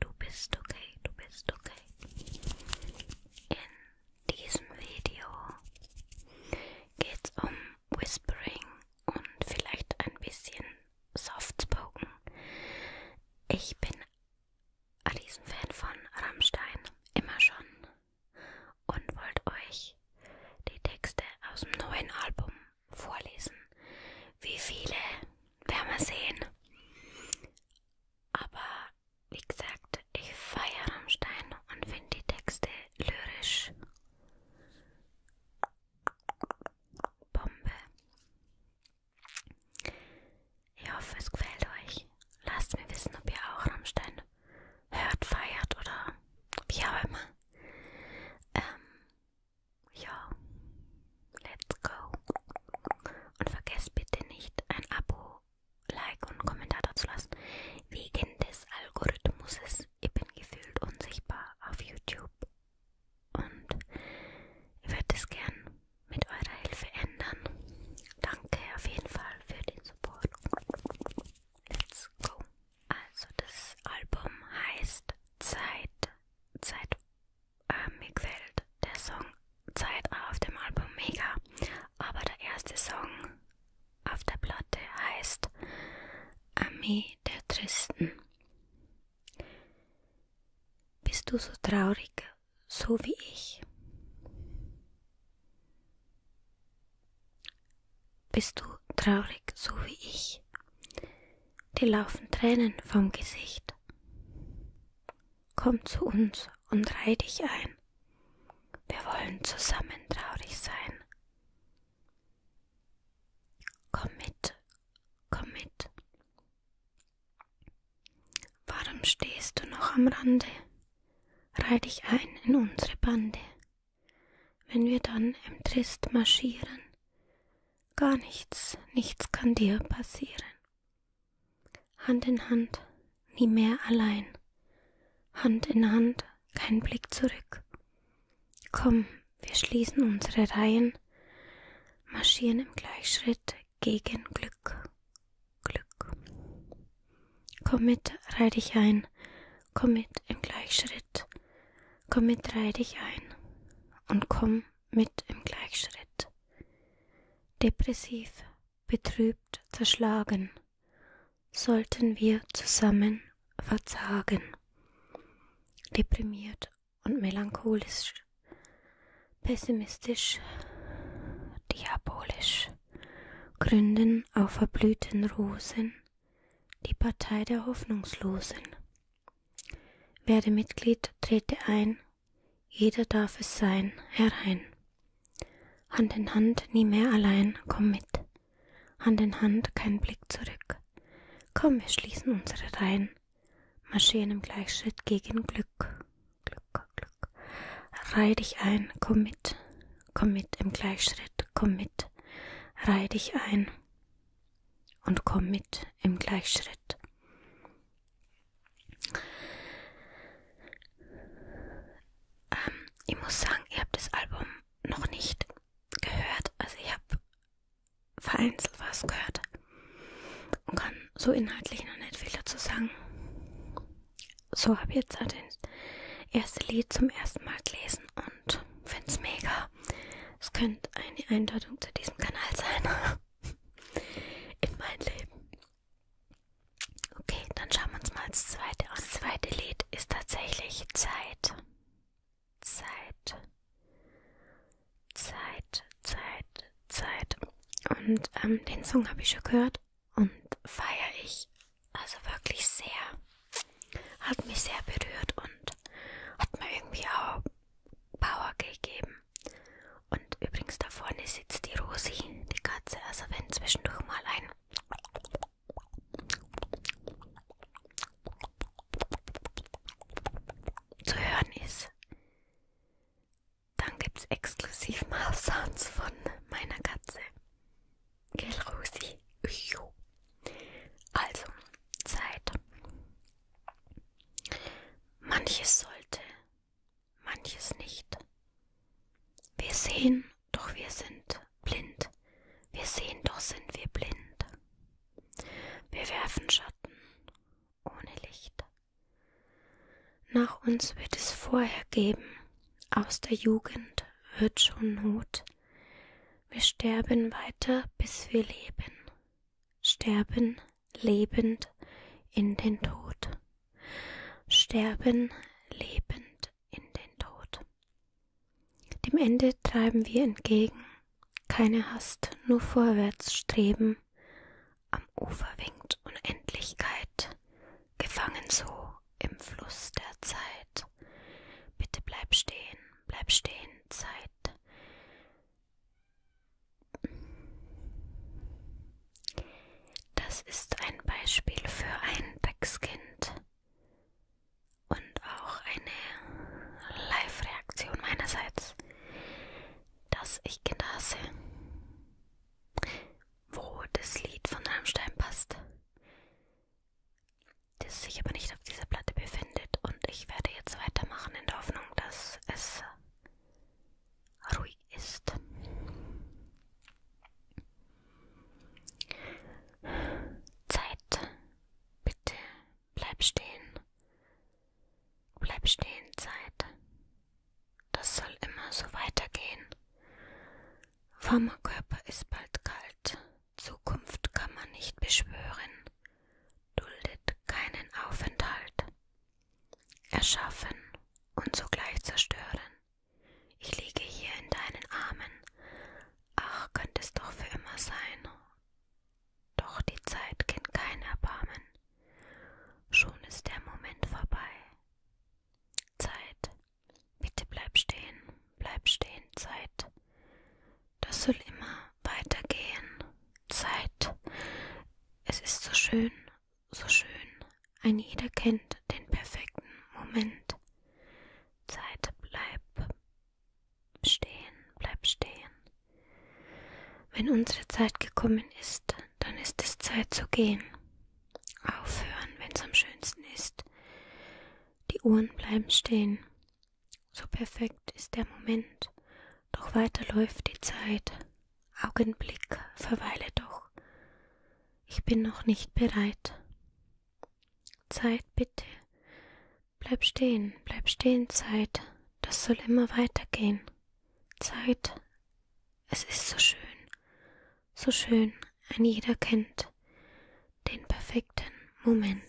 du bist okay, du bist okay. In diesem Video geht es um Whispering und vielleicht ein bisschen Softspoken. Ich bin ein Riesenfan von Rammstein, immer schon, und wollte euch die Texte aus dem neuen Album vorlesen. Wie viele werden wir sehen? Aber wie gesagt, ich feiere Rammstein und finde die Texte lyrisch. Bombe. Ich hoffe, es gefällt euch. Lasst mir wissen, ob ihr auch Rammstein hört, feiert oder wie auch immer. Ähm, ja. Let's go. Und vergesst bitte nicht, ein Abo, Like und Kommentar dazu lassen. Wegen des Algorithmuses, ich bin gefühlt unsichtbar auf YouTube. Und ich würde es gern mit eurer Hilfe ändern. Danke auf jeden Fall für den Support. Let's go. Also das Album heißt Zeit. Zeit äh, mir gefällt der Song Zeit auf dem Album mega, aber der erste Song auf der Platte heißt Ami der Tristen. Bist du so traurig, so wie ich? Bist du traurig, so wie ich? Dir laufen Tränen vom Gesicht komm zu uns und reih dich ein. Wir wollen zusammen traurig sein. Komm mit, komm mit. Warum stehst du noch am Rande? Reih dich ein in unsere Bande. Wenn wir dann im Trist marschieren, gar nichts, nichts kann dir passieren. Hand in Hand, nie mehr allein. Hand in Hand, kein Blick zurück. Komm, wir schließen unsere Reihen, marschieren im Gleichschritt gegen Glück. Glück. Komm mit, reih dich ein. Komm mit im Gleichschritt. Komm mit, reih dich ein. Und komm mit im Gleichschritt. Depressiv, betrübt, zerschlagen, sollten wir zusammen verzagen. Deprimiert und melancholisch, pessimistisch, diabolisch, gründen auf verblühten Rosen die Partei der Hoffnungslosen. Werde Mitglied, trete ein, jeder darf es sein, herein. Hand in Hand, nie mehr allein, komm mit. Hand in Hand, kein Blick zurück. Komm, wir schließen unsere Reihen, marschieren im Gleichschritt gegen Glück. Glück, Glück. Reih dich ein, komm mit, komm mit im Gleichschritt, komm mit, reih dich ein und komm mit im Gleichschritt. Ähm, ich muss sagen, ich habe das Album noch nicht gehört. Also ich habe vereinzelt was gehört und kann so inhaltlich noch nicht viel dazu sagen. So habe ich jetzt halt das erste Lied zum ersten Mal gelesen und finde es mega. Es könnte eine Eindeutung zu diesem Kanal sein. In mein Leben. Okay, dann schauen wir uns mal das zweite an. Das zweite Lied ist tatsächlich Zeit. Zeit. Zeit, Zeit, Zeit. Und ähm, den Song habe ich schon gehört und feiere ich also wirklich sehr. Hat mich sehr berührt und hat mir irgendwie auch Power gegeben. Und übrigens da vorne sitzt die Rosi, die Katze, also wenn zwischendurch mal ein zu hören ist, dann gibt es exklusiv mal Sounds von meiner Katze. Gell, Rosi? Also, Zeit Manches sollte, manches nicht. Wir sehen, doch wir sind blind. Wir sehen, doch sind wir blind. Wir werfen Schatten ohne Licht. Nach uns wird es vorher geben, aus der Jugend wird schon Not. Wir sterben weiter, bis wir leben sterben lebend in den Tod. Sterben lebend in den Tod. Dem Ende treiben wir entgegen, keine Hast, nur vorwärts streben. Am Ufer winkt Unendlichkeit, gefangen so im Fluss der Zeit. Bitte bleib stehen, bleib stehen, Zeit. Das ist ein Beispiel für ein Dreckskind und auch eine Live-Reaktion meinerseits, dass ich Kinder hasse, wo das Lied von Rammstein passt das sich aber nicht auf dieser Platte befindet. Und ich werde jetzt weitermachen in der Hoffnung, dass es ruhig ist. Zeit. Bitte bleib stehen. Bleib stehen, Zeit. Das soll immer so weitergehen. Warmer Körper ist bald kalt. Zukunft kann man nicht beschwören, duldet keinen Aufenthalt. Erschaffen und sogleich zerstören. Ich liege hier in deinen Armen. Ach, könnte es doch für immer sein. Doch die Zeit kennt kein Erbarmen. Schon ist der Moment vorbei. Zeit, bitte bleib stehen, bleib stehen, Zeit. Das soll immer weitergehen. Zeit. Es ist so schön, so schön. Ein jeder kennt den perfekten Moment. Zeit, bleib stehen, bleib stehen. Wenn unsere Zeit gekommen ist, dann ist es Zeit zu gehen. Aufhören, wenn's am schönsten ist. Die Uhren bleiben stehen. So perfekt ist der Moment, doch weiter läuft die Zeit. Augenblick, verweile doch. Ich bin noch nicht bereit. Zeit, bitte. Bleib stehen, bleib stehen, Zeit. Das soll immer weitergehen. Zeit. Es ist so schön. So schön, ein jeder kennt den perfekten Moment.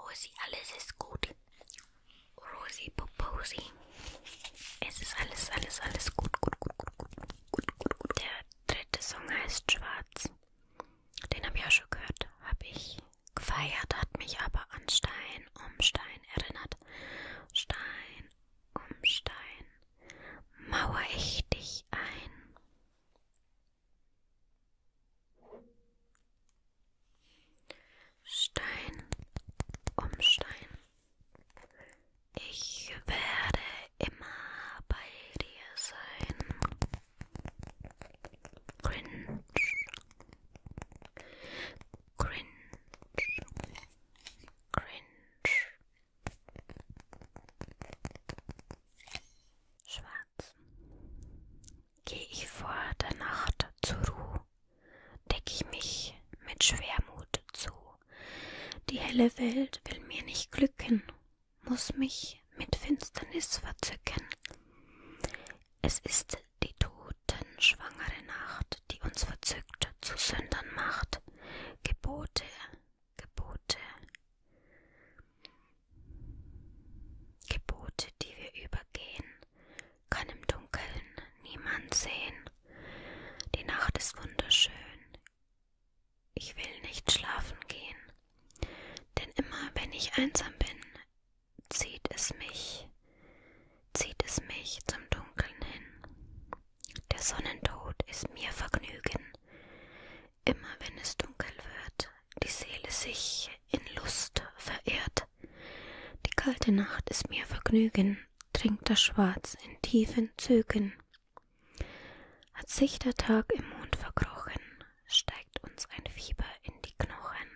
Rosi, alles ist gut. Rosi Poposi. Es ist alles, alles, alles gut, gut, gut, gut, gut, gut, gut, gut. Der dritte Song heißt Schwarz. Den habe ich auch schon gehört. Habe ich gefeiert, hat mich aber an Stein um Stein erinnert. Stein um Stein. Mauer ich dich ein. Stein um Stein. Ich werde immer bei dir sein. Cringe. Cringe. Cringe. Schwarz gehe ich vor der Nacht zur Ruhe, deck ich mich mit Schwermut zu. Die helle Welt will mir nicht glücken, muss mich mit Finsternis verzücken. Es ist die totenschwangere Nacht, die uns verzückt zu Sündern macht. Gebote, Gebote, Gebote, die wir übergehen, kann im Dunkeln niemand sehen. Die Nacht ist wunderschön. Ich will nicht schlafen gehen, denn immer wenn ich einsam bin, zieht es mich, zieht es mich zum Dunkeln hin. Der Sonnentod ist mir Vergnügen. Immer wenn es dunkel wird, die Seele sich in Lust verehrt. Die kalte Nacht ist mir Vergnügen, trinkt das Schwarz in tiefen Zügen. Hat sich der Tag im Mond verkrochen, steigt uns ein Fieber in die Knochen.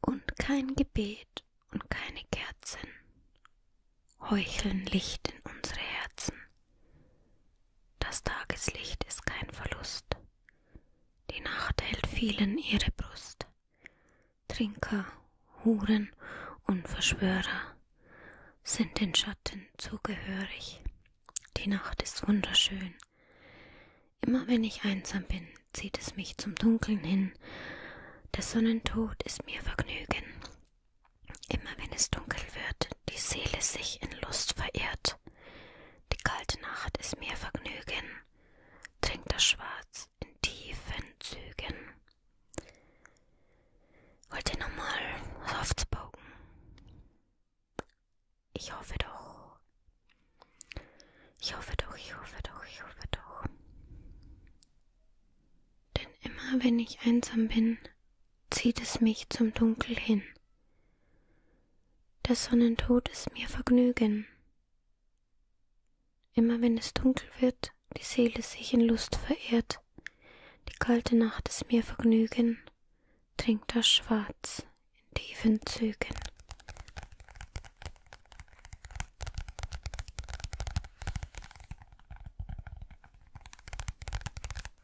Und kein Gebet und keine Kerzen heucheln Licht in unsere Herzen. Das Tageslicht ist kein Verlust. Die Nacht hält vielen ihre Brust. Trinker, Huren und Verschwörer sind den Schatten zugehörig. Die Nacht ist wunderschön. Immer wenn ich einsam bin, zieht es mich zum Dunkeln hin. Der Sonnentod ist mir Vergnügen. Immer wenn es dunkel wird, die Seele sich in Lust verirrt. Die kalte Nacht ist mir Vergnügen, trinkt das Schwarz in tiefen Zügen. Wollt ihr nochmal Softbogen? Ich hoffe doch. Ich hoffe doch, ich hoffe doch, ich hoffe doch. Denn immer wenn ich einsam bin, zieht es mich zum Dunkel hin des Sonnentod ist mir Vergnügen. Immer wenn es dunkel wird, die Seele sich in Lust verehrt, die kalte Nacht ist mir Vergnügen, trinkt das Schwarz in tiefen Zügen.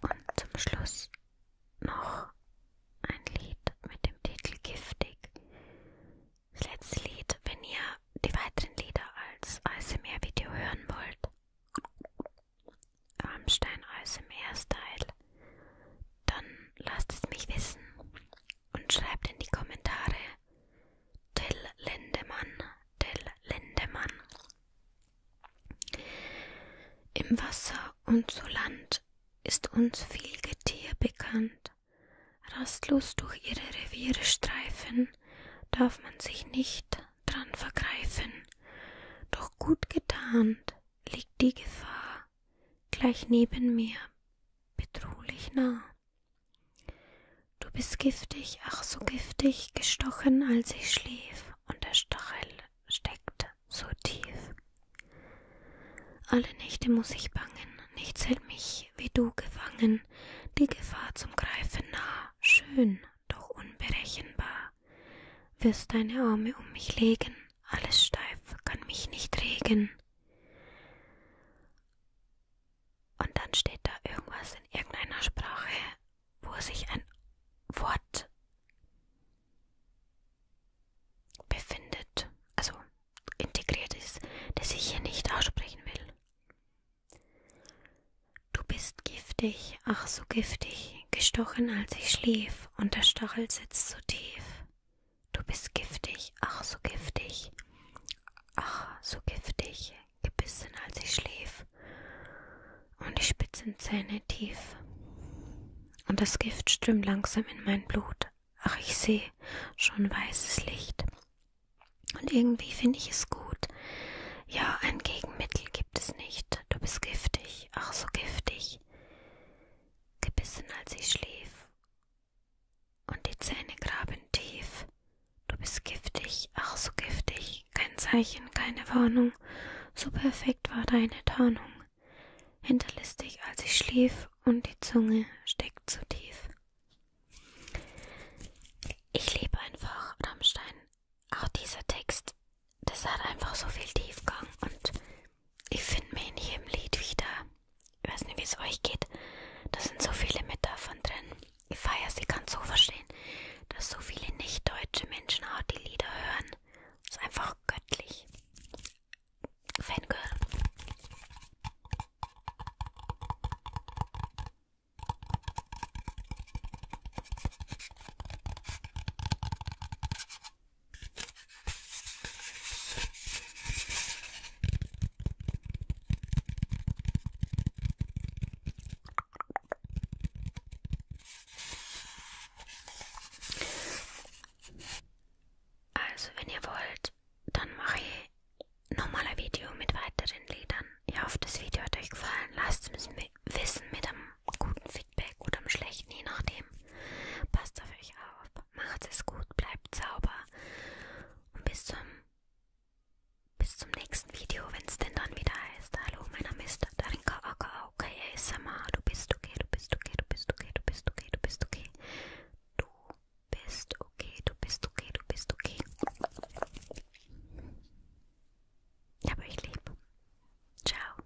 Und zum Schluss noch ein Lied mit dem Titel Giftig. Das letzte Lied, wenn ihr die weiteren Lieder als ASMR-Video hören wollt. Rammstein ASMR-Style. Dann lasst es mich wissen und schreibt in die Kommentare, Till Lindemann, Till Lindemann. Im Wasser und zu Land ist uns viel Getier bekannt. Rastlos durch ihre Reviere streifen, darf man sich nicht dran vergreifen. Doch gut getarnt liegt die Gefahr gleich neben mir, bedrohlich nah. Du bist giftig, ach so giftig, gestochen, als ich schlief, und der Stachel steckt so tief. Alle Nächte muss ich bangen, nichts hält mich wie du gefangen, die Gefahr zum Greifen nah, schön, doch unberechenbar. Wirst deine Arme um mich legen, alles steif kann mich nicht regen. Und dann steht da irgendwas in irgendeiner Sprache, wo sich ein Wort befindet, also integriert ist, das ich hier nicht aussprechen will. Du bist giftig, ach so giftig, gestochen, als ich schlief, und der Stachel sitzt so tief. Du bist giftig, ach so giftig, ach so giftig, gebissen als ich schlief und die spitzen Zähne tief. Und das Gift strömt langsam in mein Blut, ach ich seh schon weißes Licht. Und irgendwie finde ich es gut, ja, ein Gegenmittel gibt es nicht, du bist giftig, ach so giftig, gebissen als ich schlief und die Zähne graben tief. Du bist giftig, ach so giftig. Kein Zeichen, keine Warnung. So perfekt war deine Tarnung. Hinterlistig, als ich schlief, und die Zunge steckt zu tief. Ich liebe einfach Rammstein. Auch dieser Text, das hat einfach so viel Tiefgang und ich finde mich in jedem Lied wieder. Ich weiß nicht, wie es euch geht. Da sind so viele mit davon drin. Ich feiere sie ganz so verstehen, dass so viele nicht-deutsche Menschen auch die Lieder hören. Das ist einfach göttlich. Fangirl. Also, wenn ihr wollt, dann mache ich nochmal ein Video mit weiteren Liedern. Ich hoffe, das Video hat euch gefallen. Lasst es mir wissen mit einem guten Feedback oder einem schlechten, je nachdem. Passt auf euch auf. Macht es gut, bleibt sauber. Und bis zum, bis zum nächsten Video, wenn es denn dann wieder heißt. Hallo, mein Name ist Darinka Aka ASMR. Du bist okay, du bist okay, du bist okay, du bist okay, du bist okay. Du bist okay, du bist okay, du bist okay. Ich habe euch lieb. Ciao.